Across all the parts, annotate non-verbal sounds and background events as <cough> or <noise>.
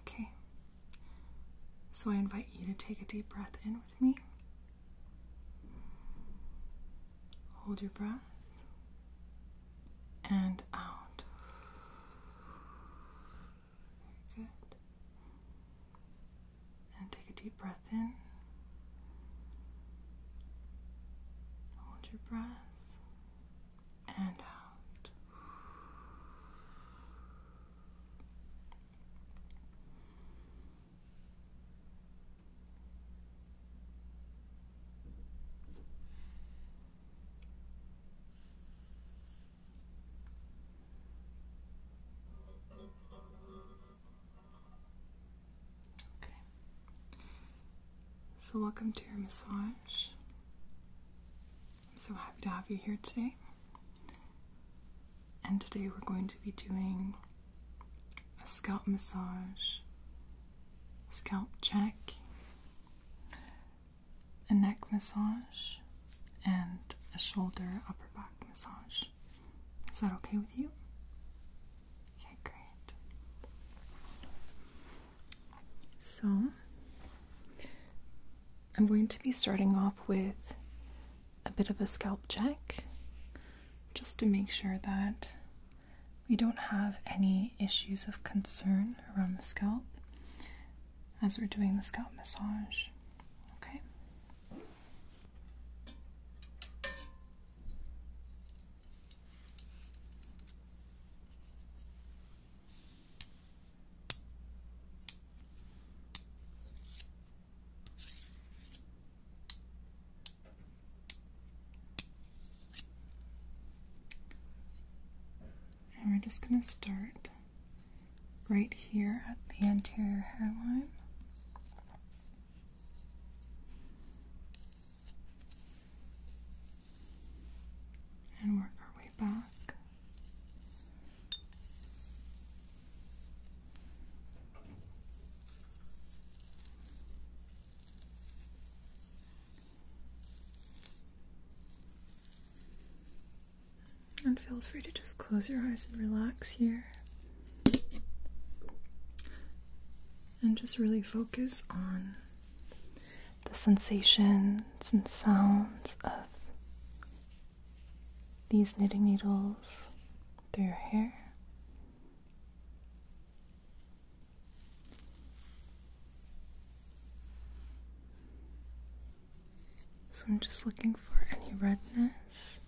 Okay. So I invite you to take a deep breath in with me. Hold your breath and out. Very good. And take a deep breath in. Hold your breath and out. Okay. So, welcome to your massage. I'm so happy to have you here today. And today we're going to be doing a scalp massage, scalp check, a neck massage, and a shoulder upper back massage. Is that okay with you? Okay, great. So I'm going to be starting off with a bit of a scalp check just to make sure that we don't have any issues of concern around the scalp as we're doing the scalp massage. Okay. And we're just going to start right here at the anterior hairline. And work our way back. And feel free to just close your eyes and relax here. And just really focus on the sensations and sounds of these knitting needles through your hair. So I'm just looking for any redness,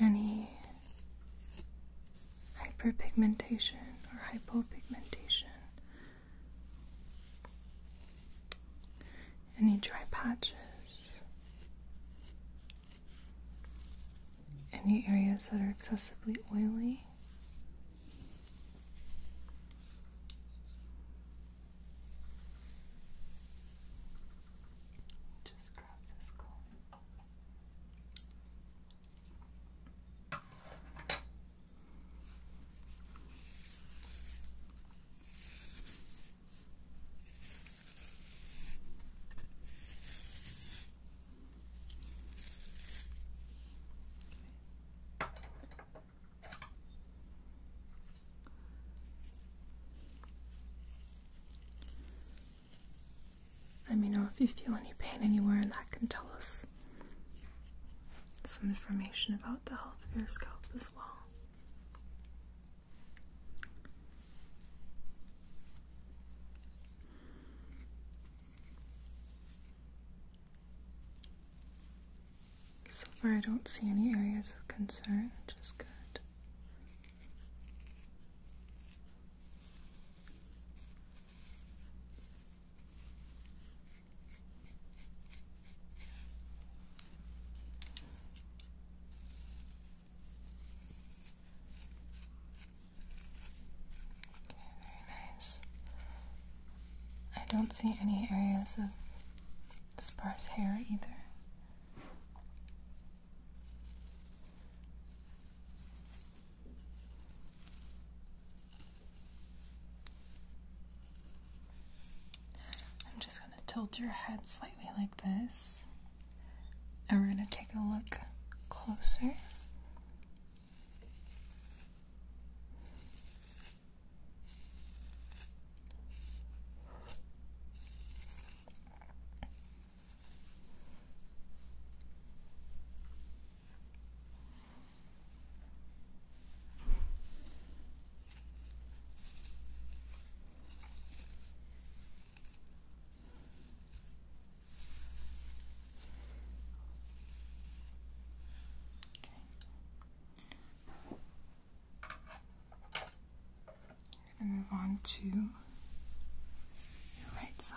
any hyperpigmentation or hypopigmentation. Any dry patches? Any areas that are excessively oily? Just grab this comb. Let me know if you feel any pain anywhere, and that can tell us some information about the health of your scalp as well. So far, I don't see any areas of concern, which is good very nice. I don't see any areas of sparse hair either. I'm just going to tilt your head slightly like this, and we're going to take a look closer. And move on to your right side.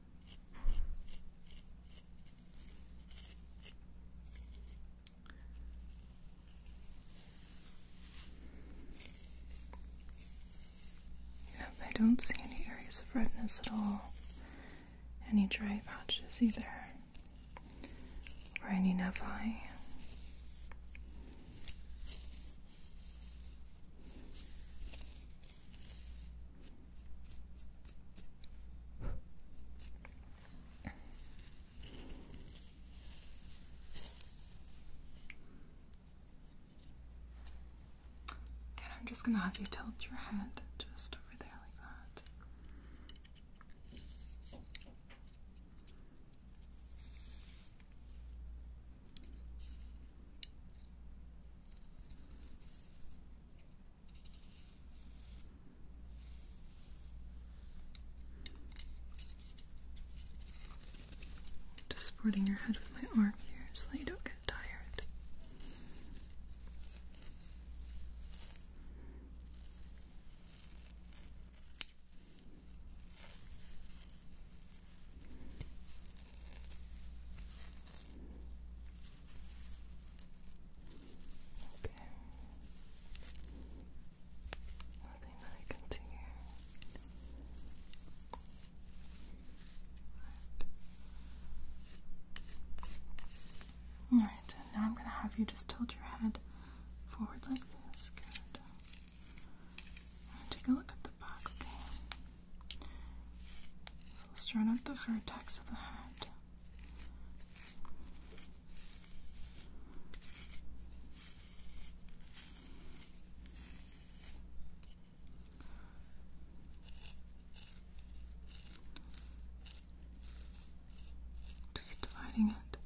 Yep, I don't see any areas of redness at all. Any dry patches either. Or any nevi. Okay, I'm just gonna have you tilt your head just over there like that. Just supporting your head with my arm here so that you don't get tired. Okay. Nothing that I can see here. Alright, now I'm gonna have you just tilt your head forward like this. Good. take a look at the back, okay? So we'll start at the vertex of the head. Just dividing it.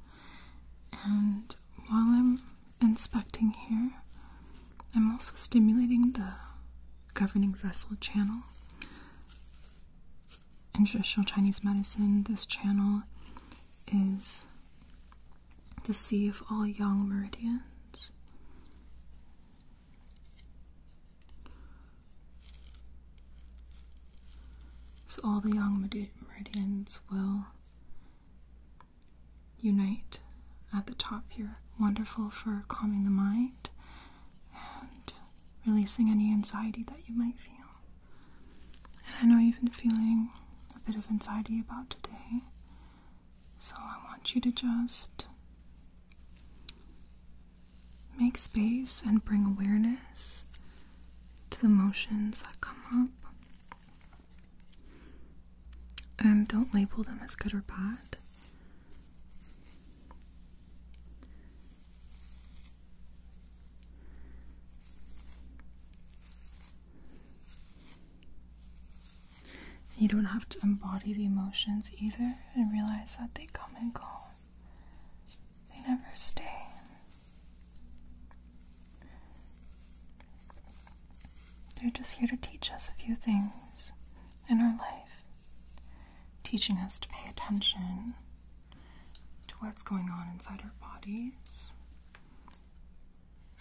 And while I'm inspecting here. I'm also stimulating the governing vessel channel. In traditional Chinese medicine, this channel is the sea of all yang meridians. So all the yang meridians will Unite at the top here. Wonderful for calming the mind and releasing any anxiety that you might feel. And I know you've been feeling a bit of anxiety about today, so I want you to just make space and bring awareness to the emotions that come up. And don't label them as good or bad. You don't have to embody the emotions either and realize that they come and go. They never stay. They're just here to teach us a few things in our life, teaching us to pay attention to what's going on inside our bodies.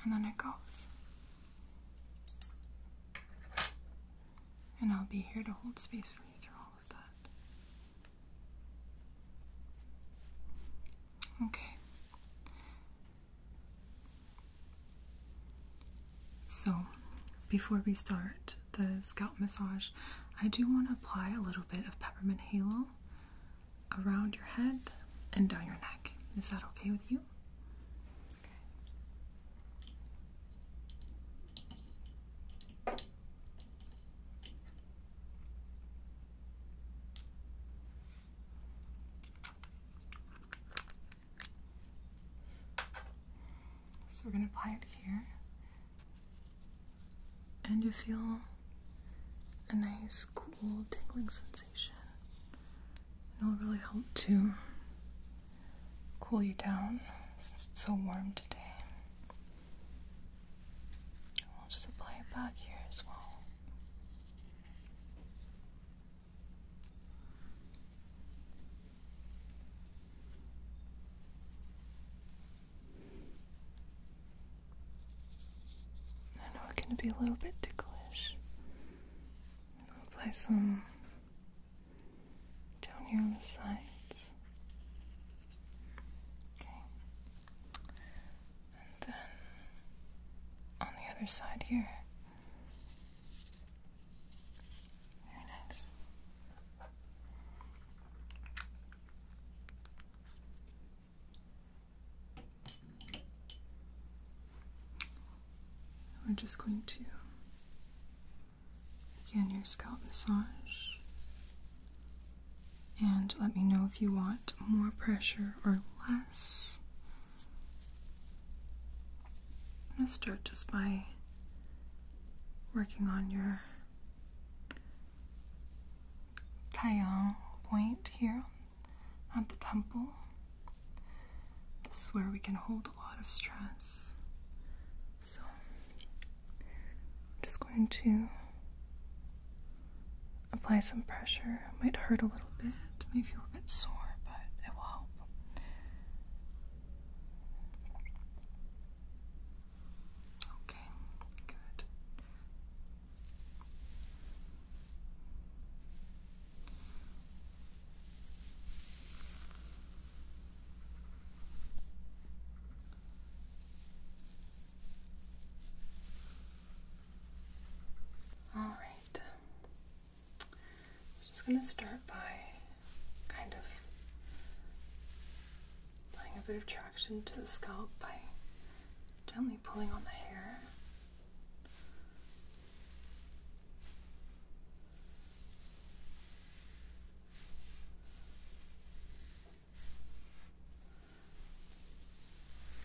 And then it goes. And I'll be here to hold space for you through all of that. Okay. So, before we start the scalp massage, I do want to apply a little bit of peppermint halo around your head and down your neck. Is that okay with you? So we're going to apply it here. And you feel a nice, cool, tingling sensation. it'll really help to cool you down since it's so warm today. I'll just apply it back here as well. I know it can be a little bit ticklish. I'll apply some down here on the sides. Okay. And then on the other side here. Very nice. We're just going to begin your scalp massage. And let me know if you want more pressure or less. Let's start just by working on your Taiyang point here at the temple. This is where we can hold a lot of stress. So I'm just going to apply some pressure it might hurt a little bit, may feel a bit sore, but it will help. Okay, good. All right. So just going to start by kind of applying a bit of traction to the scalp by gently pulling on the hair.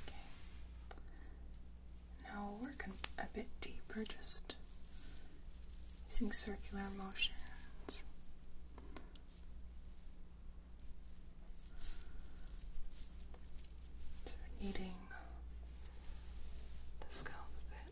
Okay. Now we'll work a bit deeper, just using circular motions. So the scalp a bit.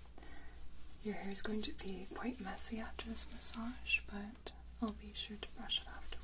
Your hair is going to be quite messy after this massage, but I'll be sure to brush it afterwards.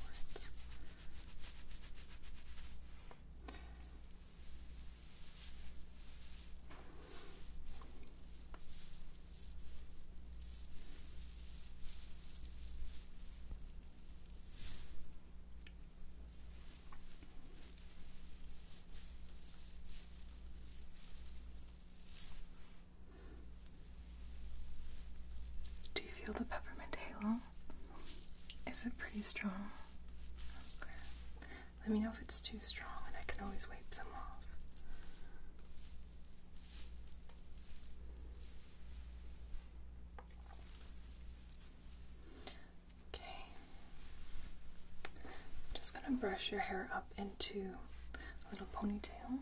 Do you feel the peppermint halo? Is it pretty strong? Let me know if it's too strong and I can always wipe some off. Okay. just going to brush your hair up into a little ponytail.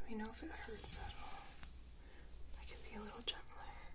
Let me know if it hurts at all. I can be a little gentler.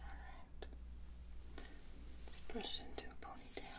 All right. Let's brush it into a ponytail.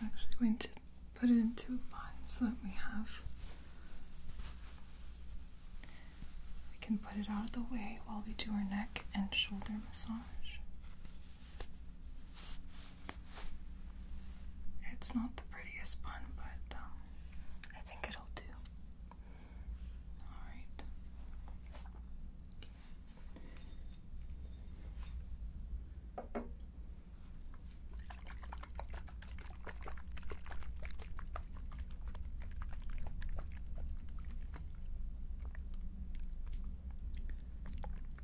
I'm actually going to put it into a line so that we have we can put it out of the way while we do our neck and shoulder massage. It's not the prettiest bun, but um, I think it'll do. Alright.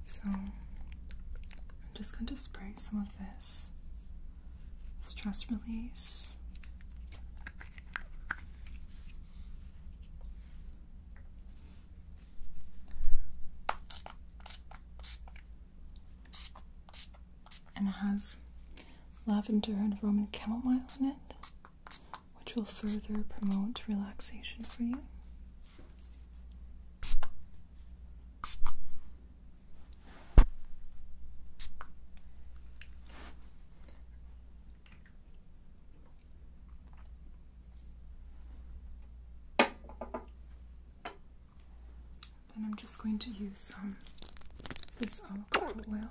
So I'm just going to spray some of this stress release and it has lavender and Roman chamomile in it which will further promote relaxation for you. Then I'm just going to use some um, this avocado oil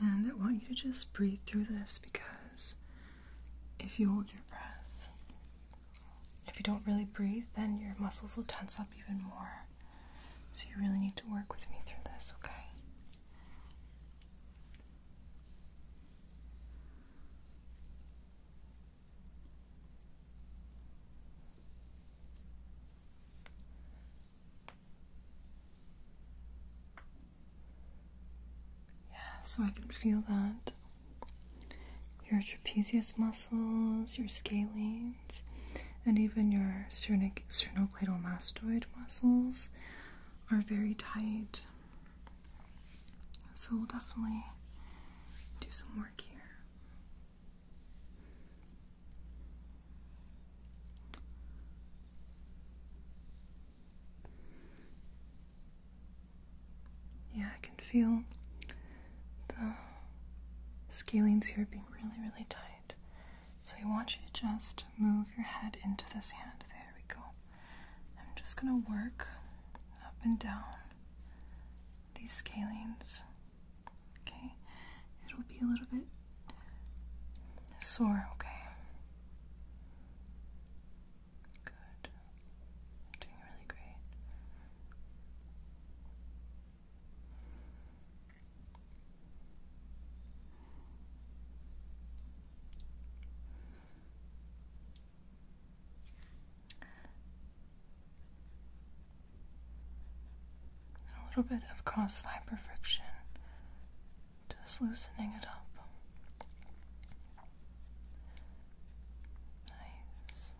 And I want you to just breathe through this because if you hold your breath, if you don't really breathe, then your muscles will tense up even more. So you really need to work with me through this, okay? Yeah, so I can feel that. Your trapezius muscles, your scalenes, and even your sternocleidomastoid muscles are very tight. So we'll definitely do some work here. Yeah, I can feel the scalings here being really, really tight. So I want you to just move your head into this hand. There we go. I'm just going to work up and down these scalings, Okay, it'll be a little bit sore, okay? Good. doing really great. A little bit of cross fiber friction, just loosening it up. Nice.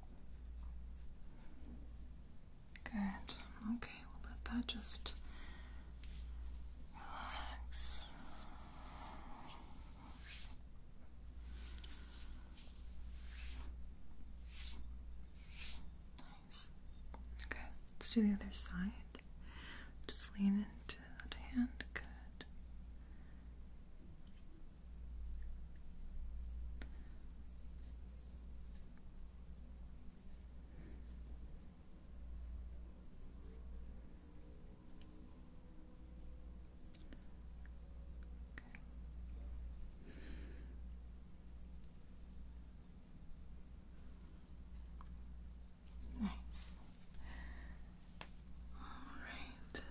Good. Okay, we'll let that just relax. Nice. Okay, let's do the other side. Just lean into that hand. Good. Okay. Nice. All right.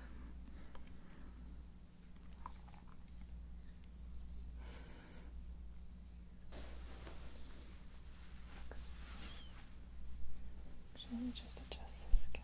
Should we just adjust this again?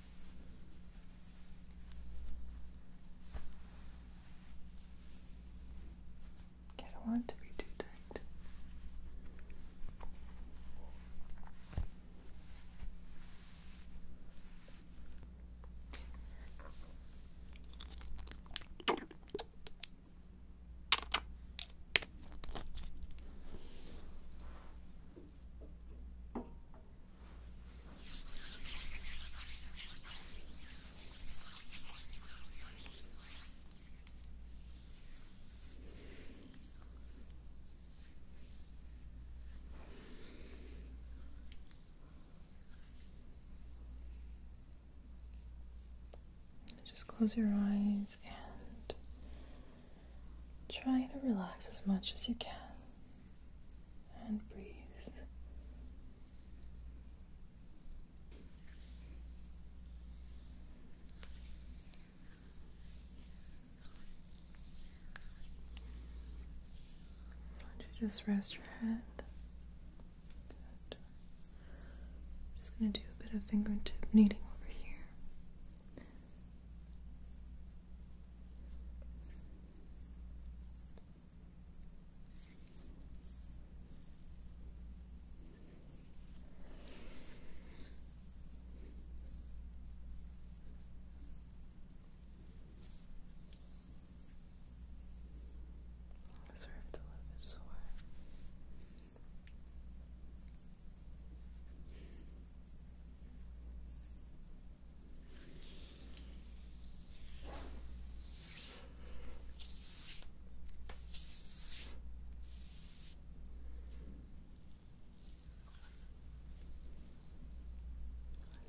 I don't want it to be too tight. Just close your eyes and try to relax as much as you can and breathe. just rest your head. just going to do a bit of fingertip kneading over here. Served a little bit sore.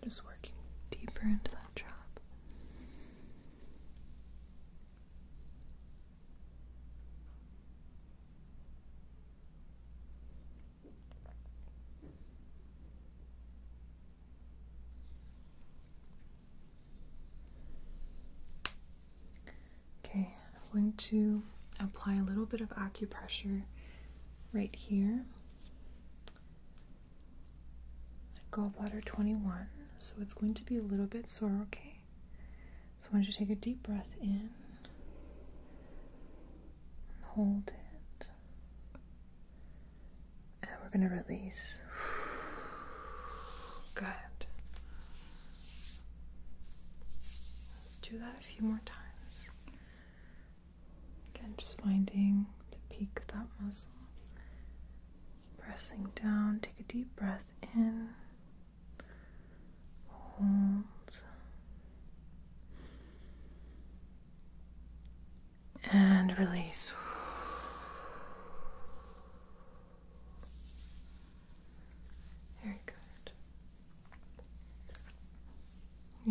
I'm just working deeper into that drop. Okay, I'm going to apply a little bit of acupressure right here. Gallbladder 21, so it's going to be a little bit sore, okay? So I want you to take a deep breath in, and hold it. And we're going to release. <sighs> Good. Let's do that a few more times. Again, just finding the peak of that muscle. Pressing down, take a deep breath in. Hold and release. Very good.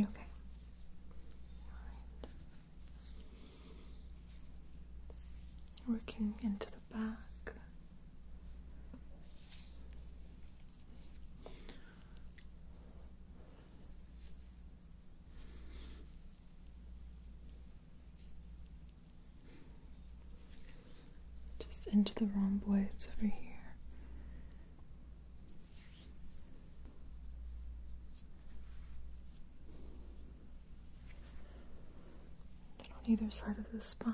okay? Working into the back. Just into the rhomboids over here. And on either side of the spine,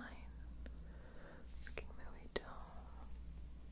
looking really down.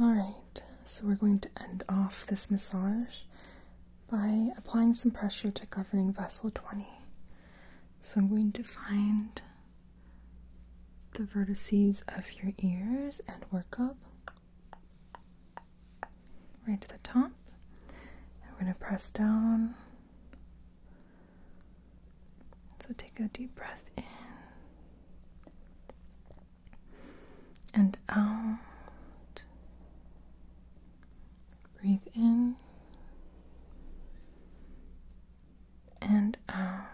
Alright, so we're going to end off this massage by applying some pressure to governing vessel 20. So I'm going to find the vertices of your ears and work up right to the top. And we're going to press down so take a deep breath in and out. Breathe in and out.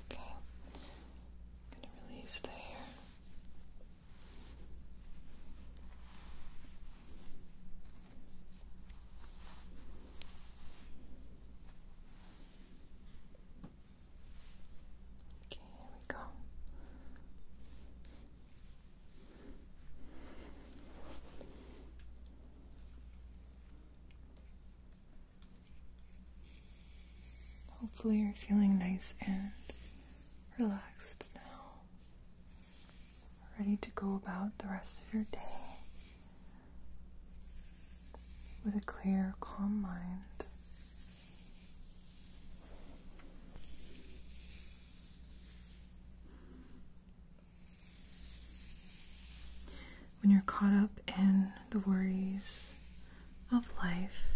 Okay. going to release the Okay, here we go. Hopefully, you're feeling nice and relaxed now ready to go about the rest of your day with a clear, calm mind. When you're caught up in the worries of life,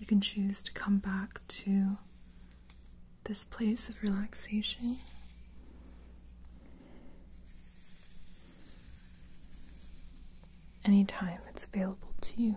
you can choose to come back to this place of relaxation. Anytime it's available to you.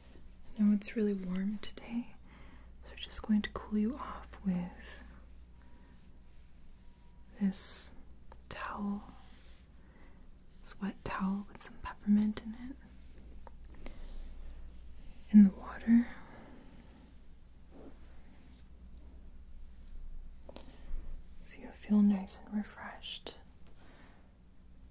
I know it's really warm today, so we're just going to cool you off with this towel, this wet towel with some peppermint in it, in the water. So you'll feel nice and refreshed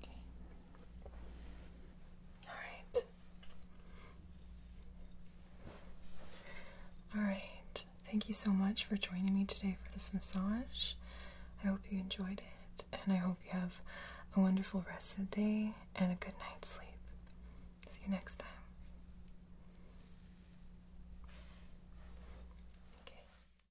Okay. All right. All right. Thank you so much for joining me today for this massage. I hope you enjoyed it, and I hope you have a wonderful rest of the day and a good night's sleep. See you next time.